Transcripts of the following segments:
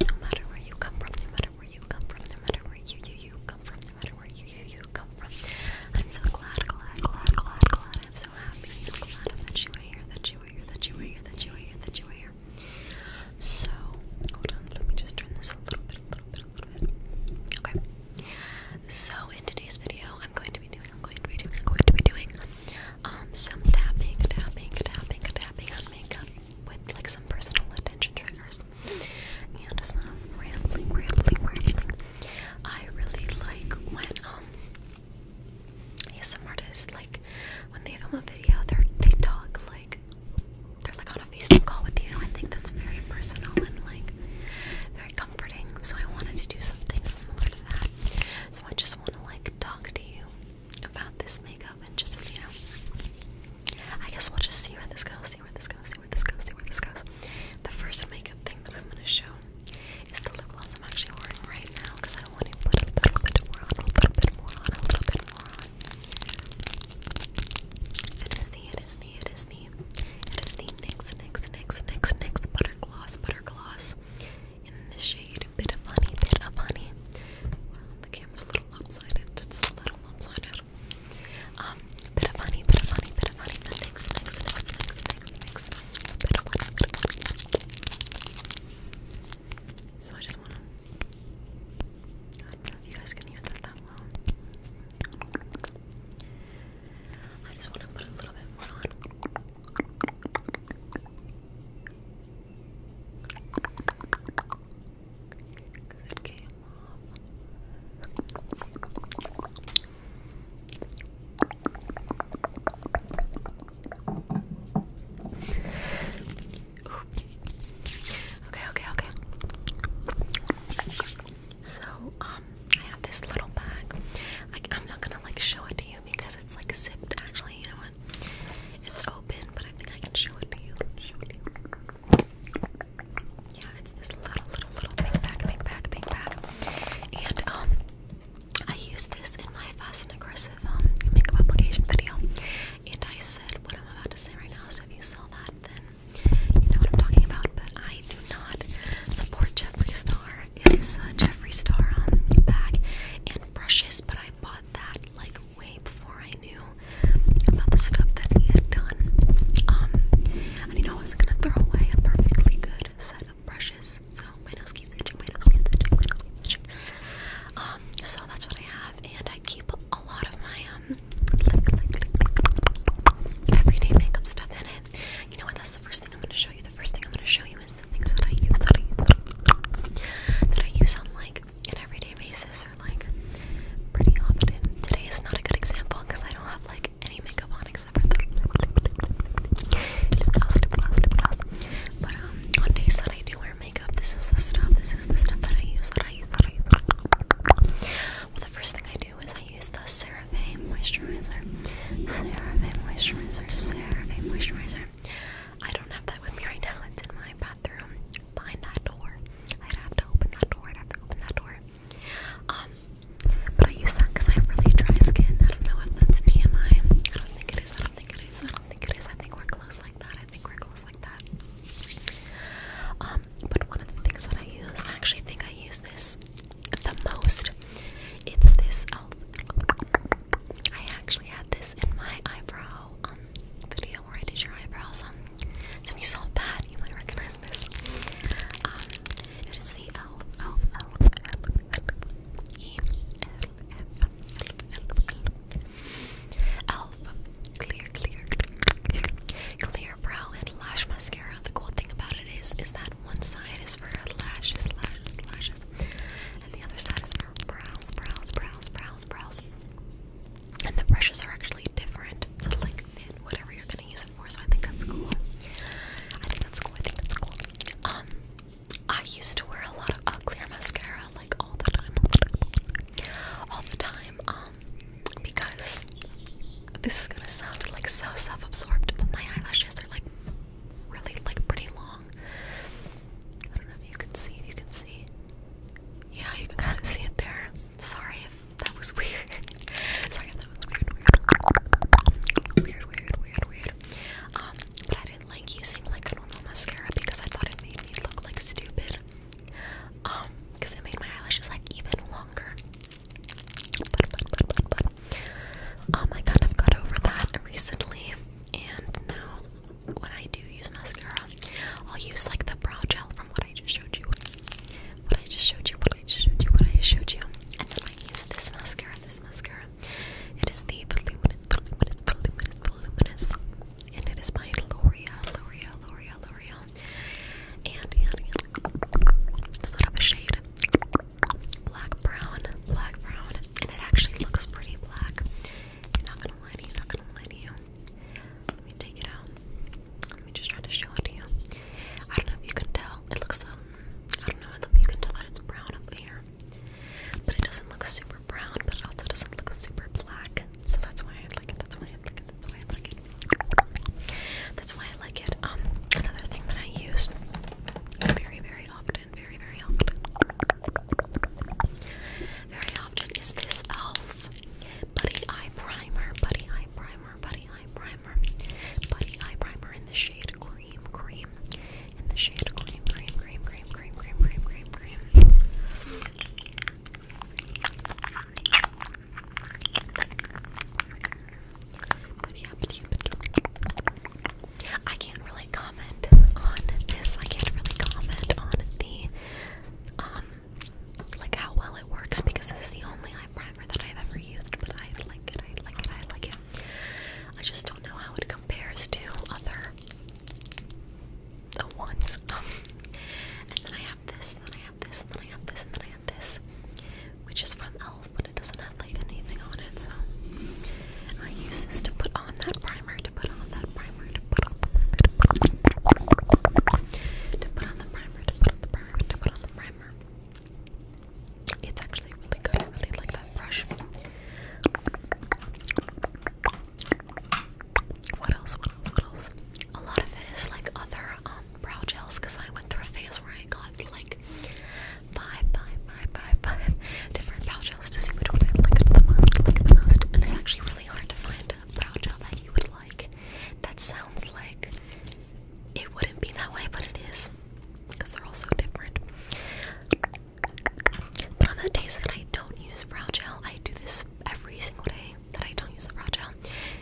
No matter where you come from, no matter where you come from, no matter where you you you come from, no matter where you you you come from. I'm so glad, glad, glad, glad, glad. I'm so happy. that you are here, that you are here, that you are here, that you are here, that you are here. So let me just turn this a little bit, a little bit, a little bit. Okay. So in today's video, I'm going to be doing, I'm going to be doing, I'm going to be doing um some tapping, tapping, tapping, tapping on makeup with like some personal attention triggers and it's not rambling, rambling, rambling. I really like when um some artists like when they film a video, they they talk like they're like on a FaceTime call with you. I think that's very personal and like very comforting. So I wanted to do something similar to that. So I just want to like talk to you about this makeup and just, you know, I guess we'll just see where this goes, see where this goes, see where this goes, see where this goes. The first makeup thing that I'm going to show is the lip gloss I'm actually wearing right now because I want to put a little bit more on, a little bit more on, a little bit more on. It is the, it is the, it is the, it is the NYX, NYX, NYX, NYX, NYX Butter Gloss, Butter Gloss in the shade. Bit of honey, bit of honey. the camera's a little lopsided. Just a little lopsided. bit of honey, bit of honey, bit of honey. So I just want to. you guys can hear that that well. I just want to put a little bit Cause okay, okay, okay. So, um, I have this little bag. I'm not gonna like show it to you because it's like zipped. Actually, you know what? It's open, but I think I can show it to you. Yeah, it's this little, little, little big pack, big pack, big pack. And um, I used this in my fast and aggressive um makeup application video, and I said what I'm about to say right now. So if you saw that, then you know what I'm talking about. But I do not support Jeffree Star. It is a Jeffree Star um, bag and brushes, but I that like way before I knew about the stuff that he had done. Um, and you know, I wasn't gonna throw away a perfectly good set of brushes. So my nose keeps itching, my nose keeps itching, my nose keeps itching. Um, so that's what I have, and I keep a lot of my um, everyday makeup stuff in it. You know what? That's the first thing I'm gonna show you. The first thing I'm gonna show you the things that I use that I use that I use on like an everyday basis or like pretty often. Today is not a good example because I don't have like any makeup on except for the But um, on days that I do wear makeup, this is the stuff. This is the stuff that I use. That I use. That I use. Well, the first thing I do is I use the CeraVe moisturizer. CeraVe moisturizer. CeraVe moisturizer. I don't have that with me right now. It's in my bathroom behind that door. I'd have to open that door. I'd have to open that door. Um, but I use that because I have really dry skin. I don't know if that's TMI. I don't think it is. I don't think it is. I don't think it is. I think we're close like that. I think we're close like that. Um, but one of the things that I use, I actually think I use this the most. It's this uh, I actually had this in my eyebrow video where I did your eyebrows. Um, so if you saw that, you might recognize this. it is the L O L F E L F Elf clear, clear, clear brow and lash mascara. The cool thing about it is, is that one side is for lashes, lashes, lashes, and the other side is for brows, brows, brows, brows, brows. And the brushes are actually different to like fit whatever you're gonna use it for, so I think that's cool. I think that's cool, I think that's cool. Um I used to wear a lot of uh, clear mascara like all the time, all the time, um, because this is gonna sound like so self-absorbed, but my eyelashes are like really like pretty long I don't know if you can see, if you can see. Yeah, you can kind of see it there. Sorry if that was weird. Sorry if that was weird, weird. Weird, weird, weird, Um, but I didn't like using like normal mascara because I thought it made me look like stupid. Um, because it made my eyelashes like even longer. Um, I kind of got over that recently, and now when I do use mascara, I'll use like the brow gel from what I just showed you. What I just showed you, what I just showed you, what I just showed you. And then I use this mascara, this mascara. It is the Voluminous, Voluminous, Voluminous, Voluminous. And it is by L'Oreal, L'Oreal, L'Oreal, L'Oreal. And, and, shade. Black brown, black brown and it actually looks pretty black. I'm not gonna lie to you, not gonna lie to you. Let me take it out. Let me just try to show it to you. I don't know if you can tell. It looks um I don't know if you can tell that it's brown up here. But it doesn't look super brown, but it also doesn't look super black. So that's why I like it. That's why I like it. That's why I like it. That's why I like it. Um another thing that I use very, very often very, very often. Very often is this e.l.f. Buddy Eye Primer, Buddy Eye Primer, Buddy Eye Primer, Buddy Eye Primer in the shade Cream, Cream, in the shade Cream, Cream, Cream, Cream, Cream, Cream, Cream, Cream, Cream. I can't really comment on this. I can't really comment on the um like how well it works because this is the only eye primer that I've ever used, but I like it, I like it, I like it. I just don't know how it compares to other the ones. and then I have this, and then I have this, and then I have this, and then I have this, which is from e.l.f it doesn't have like anything on it, so I use this to put on that primer, to put on that primer, to put on the primer, to put on the primer, to put on the primer, It's actually really good. I really like that brush. What else? What else? What else? A lot of it is like other um, brow gels because I went through a phase where I. I got like five, five, five, five, five different brow gels to see which one I liked the most, like the most. And it's actually really hard to find a brow gel that you would like. That sounds like it wouldn't be that way, but it is because they're all so different. But on the days that I don't use brow gel, I do this every single day that I don't use the brow gel.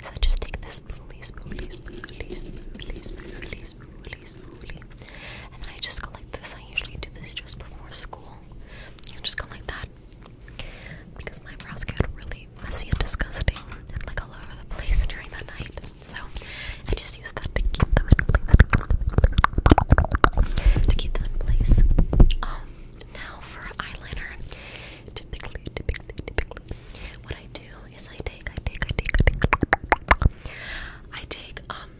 Is I just take this spoolie, spoolie, spoolie, spoolie, spoolie, spoolie, spoolie, smoothly. And then I just go like this. I usually do this just before school. I just go like that. Because my brows get really messy and disgusting and like all over the place during the night. So I just use that to keep them in place. To keep them in place. Um now for eyeliner. Typically, typically, typically what I do I take, I take, I take, I take. I take um,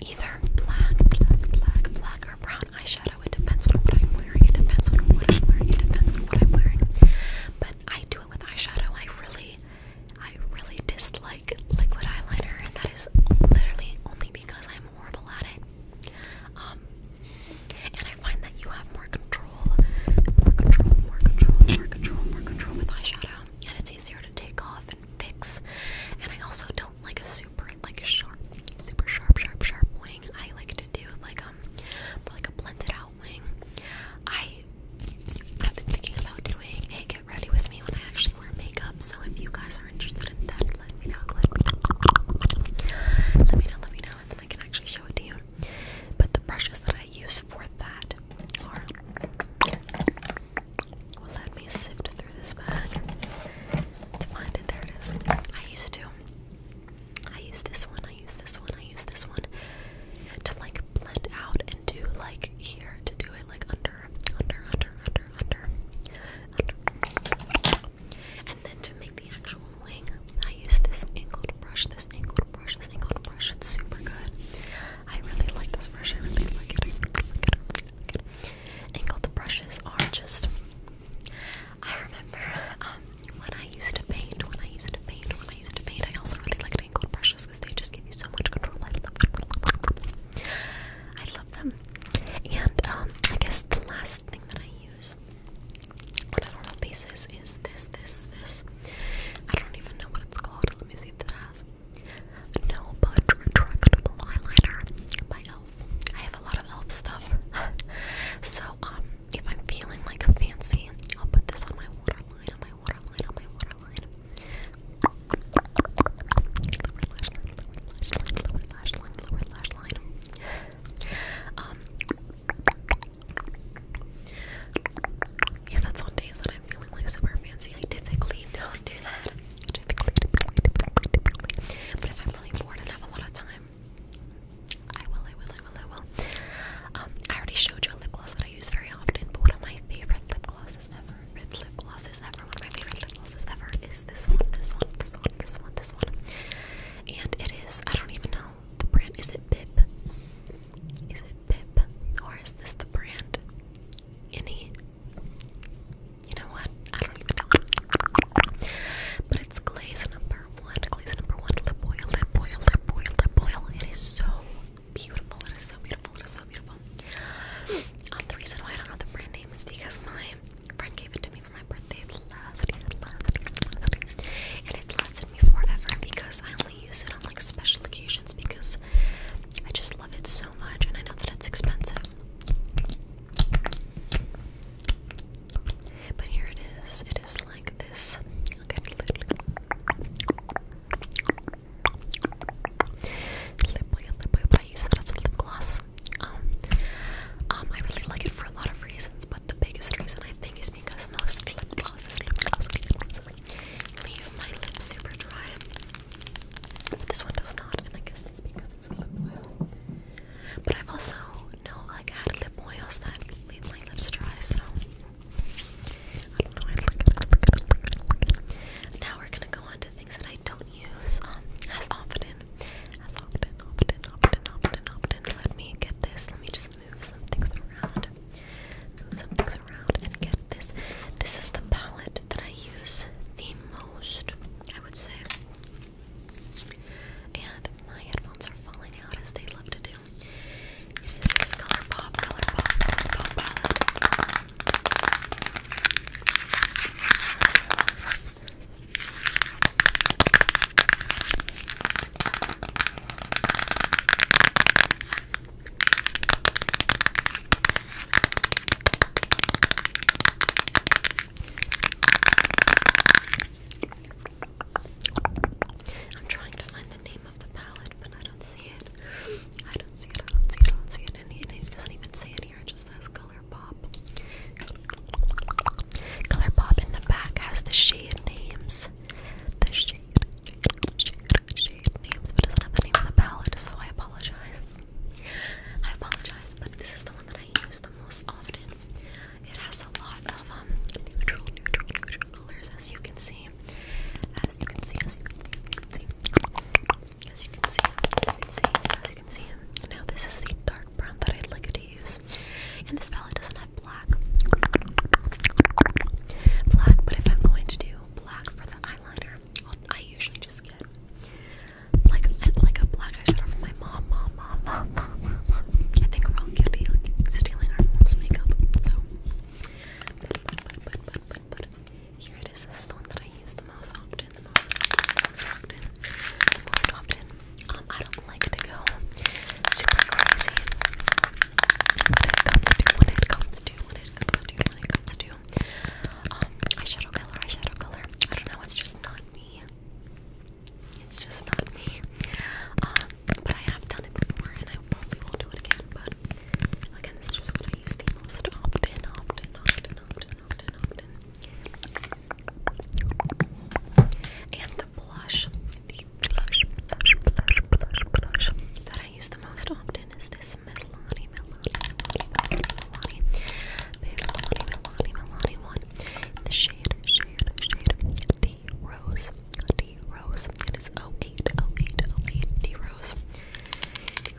either black, black, black, black or brown eyeshadow. It depends on what I'm wearing. It depends on what I'm wearing. It depends on what I'm wearing. But I do it with eyeshadow. I really, I really dislike liquid eyeliner, and that is literally only because I'm horrible at it. Um, and I find that you have more control and it's easier to take off and fix. And I also don't like a super like a sharp, super sharp, sharp, sharp wing. I like to do like um like a blended out wing. I I've been thinking about doing a get ready with me when I actually wear makeup. So if you guys are interested in that, let me know. Let me know. Let me know. Let me know, and then I can actually show it to you. But the brushes that I use for that let me sift through this bag to find it. There it is. I used to. I use this one, I use this one, I use this one to like blend out and do like here to do it like under, under, under, under, under, under. And then to make the actual wing, I use this angled brush, this angled angled brush, super good. I really like this brush, Angled brushes are just, I remember um, when I used to paint, when I used to paint, when I used to paint, I also really liked angled brushes because they just give you so much control. I love them. And um, I guess the last thing that I use on a normal pieces is this, this, this. I don't even know what it's called. Let me see if that has. No Bud Retractable Eyeliner by e.l.f. I have a lot of e.l.f. stuff. so, um, if I'm feeling like fancy, I'll put this on my waterline, on my waterline, on my waterline. Lower lash lower lash lower lash yeah, that's on days that I'm feeling like super fancy. I typically don't do that. Typically, typically, typically, typically. But if I'm really bored and have a lot of time, I will, I will, I will, I will. Um, I already showed you a lip gloss that I use very often, but one of my favorite lip glosses ever, red lip glosses ever, one of my favorite lip glosses ever is this one, this one, this one, this one, this one. And it is, I don't even know the brand. Is it Bib? Is it Pip, or is this the brand? Any? You know what? I don't even know. But it's glaze number one. Glaze number one. Lip oil, lip oil, lip oil, lip oil. It is so beautiful. It is so beautiful. It is so beautiful. Um, the reason why I don't know the brand name is because my friend gave it to me for my birthday last And it's lasted me forever because I only only use it on like special occasions because I just love it so much and I know that it's expensive. But here it is. It is like this. lip oil, lip oil, but I use it as a lip gloss. Um, um, I really like it for a lot of reasons, but the biggest reason I think is because most lip glosses, lip glosses, lip glosses leave my lips super dry. But this one does not, and I guess that's because it's a lip oil. But I've also no like had lip oils that leave my lips dry, so I don't know. I look at it. Now we're gonna go on to things that I don't use um as often. As often, often, often, often, often. Let me get this. Let me just move some things around. Move some things around and get this. This is the palette that I use the most, I would say. And my headphones are falling out as they love to do. It is this ColourPop, ColourPop, palette. I'm trying to find the name of the palette, but I don't see it. I don't see it, I don't see it, I don't see it. And doesn't even say it here, just says Colourpop. Colourpop in the back has the shade names the shade, shade, shade names, but it not the name of the palette, so I apologize. I apologize, but this is the one that I use the most often. It has a lot of um, neutral, neutral, neutral colors, As you can see, as you can see, as you can see, as you can see, as you can see. As you can see. Now this is the dark brown that I like to and this palette doesn't have black. Black, but if I'm going to do black for the eyeliner, i usually just get like like a black eyeshadow from my mom, mom, mom, mom, mom. mom. I think we're all guilty like, stealing our mom's makeup. So, here it is. This is the one that I use the most often, most, often, most often. Um, I don't like to go super crazy when it comes to when it comes to when it comes to when it comes to um, eyeshadow color, eyeshadow color. I don't know, it's just not me. It's just not me. Um, but I have done it before and I probably will do it again, but again this is just what I use the most often, often, often, often, often, often. And the blush that I use the most often is this Milani, Milani, Milani, Milani, Milani, Milani one the shade, shade, shade D Rose, D Rose. It is D Rose, D Rose 08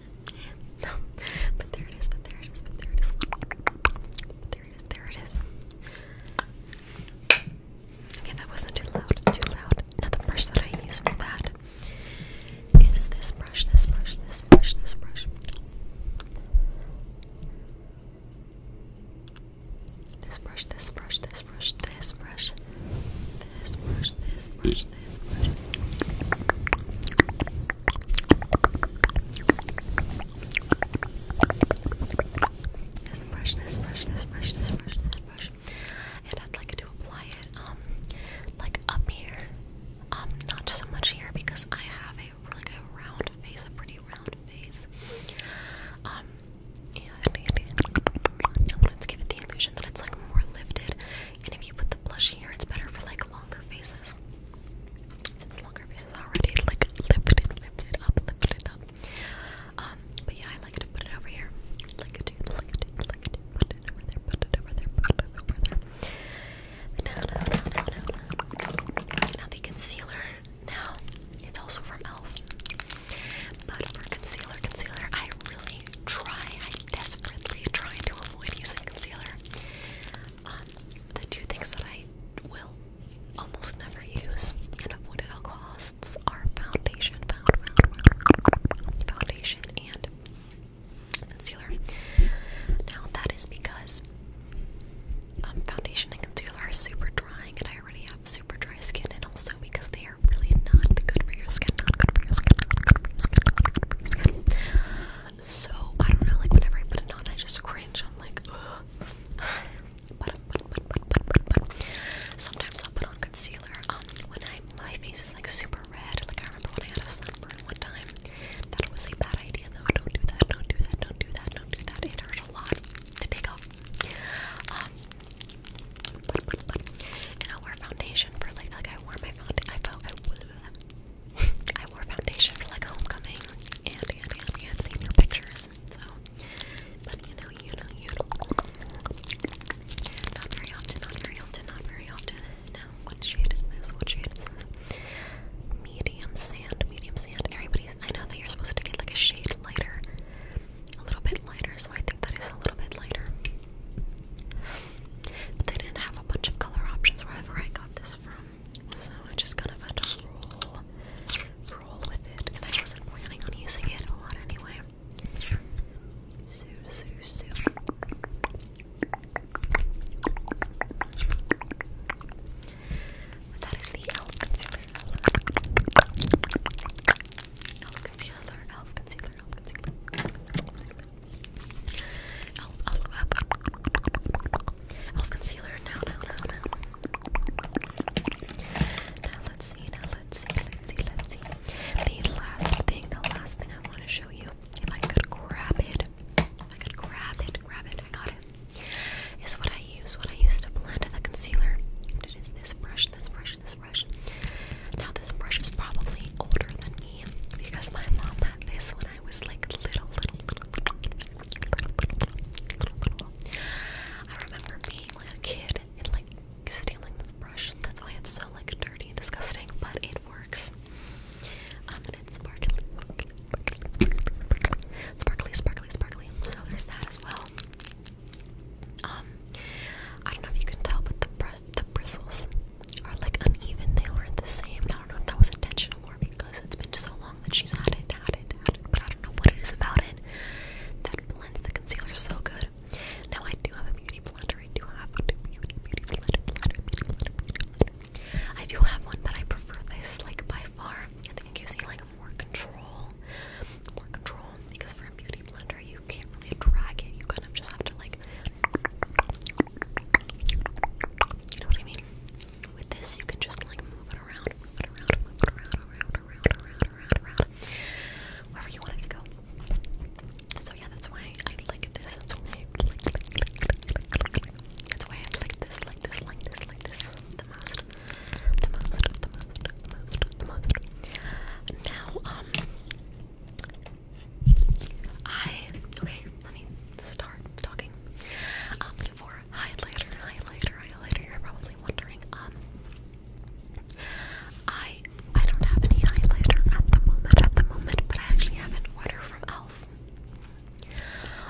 No, but there it is, but there it is, but there it is. There it is, there it is. Okay, that wasn't too loud, too loud. Now the brush that I use for that is this brush, this brush, this brush, this brush. This brush, this brush, this brush, this brush, this brush, this brush, this brush. This brush, this brush, And I'd like to apply it, um, like up here. Um, not so much here because I have a really round face, a pretty round face. Um, yeah, I want to give it the illusion that it's like more lifted and if you put the blush here, it's better for like longer faces. Since longer faces already like lifted lifted up, lifted up. Um, but yeah, I like to put it over here. put it over there, put it over there, put it over there. Now, now, now, now, now. the concealer. Now it's also from Elf. But concealer, concealer, I really try desperately trying to avoid using concealer. Um, the two things that I will almost never use and avoid at all costs are foundation, found, foundation, and concealer. Now that is because um, foundation and concealer are super drying, and I already have super dry skin, and also because they really not good for your skin, not good for your skin, So I don't know, like whenever I put it on, I just cringe. I'm like, ugh. Sometimes i put on concealer. Um, when my face is like super red, like I remember when I had a sunburn one time. That was a bad idea though. Don't do that. Don't do that. Don't do that. Don't do that. It hurt a lot to take off. Um, and I'll wear foundation for like like I wore my foundation. I felt I, I wore foundation for like homecoming and and and you had seen your pictures. So, but you know, you know, you know, not very often, not very often, not very often. Now, what shade is this? What shade is this? Medium sand, medium sand. Everybody, I know that you're supposed to get like a shade lighter a little bit lighter, so I think that is a little bit lighter. But they didn't have a bunch of color options wherever I got this from, so I just kind of had to roll, roll with it. And I wasn't planning on using it a lot anyway. that is the elf concealer. Elf concealer, elf concealer concealer, elf concealer. Elf, elf, elf. elf concealer. Now, now, now, now. Now let's see. Now let's see. Let's see. Let's see. The last thing. The last thing I want to show you. If I could grab it, I could grab it. Grab it. I got it. Is what I use. What I use to blend the concealer. It is this brush. This brush. This brush brush. Now this brush is probably older than me because my mom had this when I was like little, little, little, I remember being like a kid and like stealing the brush. That's why it's so like dirty and disgusting, but it works. Um, and it's sparkly, sparkly, sparkly. So there's that as well. Um, I don't know if you can tell, but the br the bristles are like uneven. They aren't the same. I don't know if that was intentional or because it's been so long that she's had it, had it, had it. But I don't know what it is about it that blends the concealer so good. Now I do have a beauty blender. I do have a beauty blender. beauty blender. I do have one, but I prefer this like by far. I think it gives me like more control, more control because for a beauty blender you can't really drag it. You kind of just have to like you know what I mean? With this you can just like move it around, move it around, move it around, around, around, around, around, around. Wherever you want it to go. So yeah, that's why I like this. That's why I like, like, like, like. That's why I like this, like this, like this, like this. The most. The most, the most. Now, um, I okay. Let me start talking. Um, for highlighter, highlighter, highlighter. You're probably wondering. Um, I I don't have any highlighter at the moment. At the moment, but I actually have an order from Elf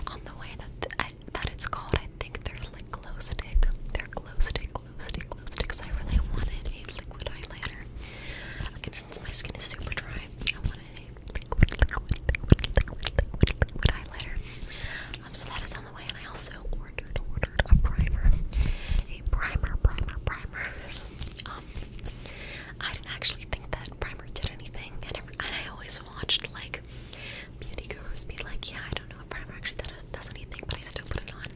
on the way that that it's called. I think they're like glow stick. They're glow stick glue stick, glue sticks. I really wanted a liquid highlighter. since my skin is super dry, I wanted a liquid, liquid, Um, so that is on the way, and I also ordered ordered a primer, a primer, primer, primer. Um, I didn't actually think that primer did anything, and I, always watched like beauty gurus be like, yeah, I don't know know primer actually does, does anything, but I still put it on.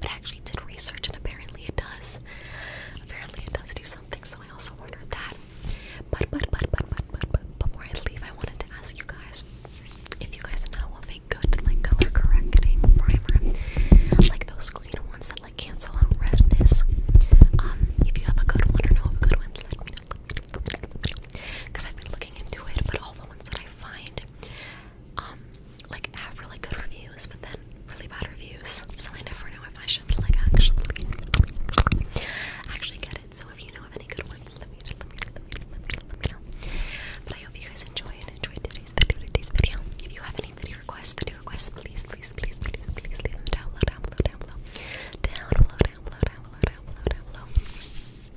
But actually did research, and apparently it does. Apparently it does do something, so I also ordered that. But, but, but, but, but, but, but before I leave, I wanted to ask you guys if you guys know of a good, like, color correcting primer. Like those green ones that, like, cancel out redness. Um, if you have a good one or know of a good one, let me know. Because I've been looking into it, but all the ones that I find um, like have really good reviews, but then really bad reviews. So I never know if I should like actually actually get it. So if you know of any good ones, let me let me let me let me, let me know. But I hope you guys enjoy and enjoyed today's video. Today's video. If you have any video requests, video requests, please, please, please, please, please leave them down below, down below, down below, down below, down below, down below, down below, down below. Down below, down below, down below, down below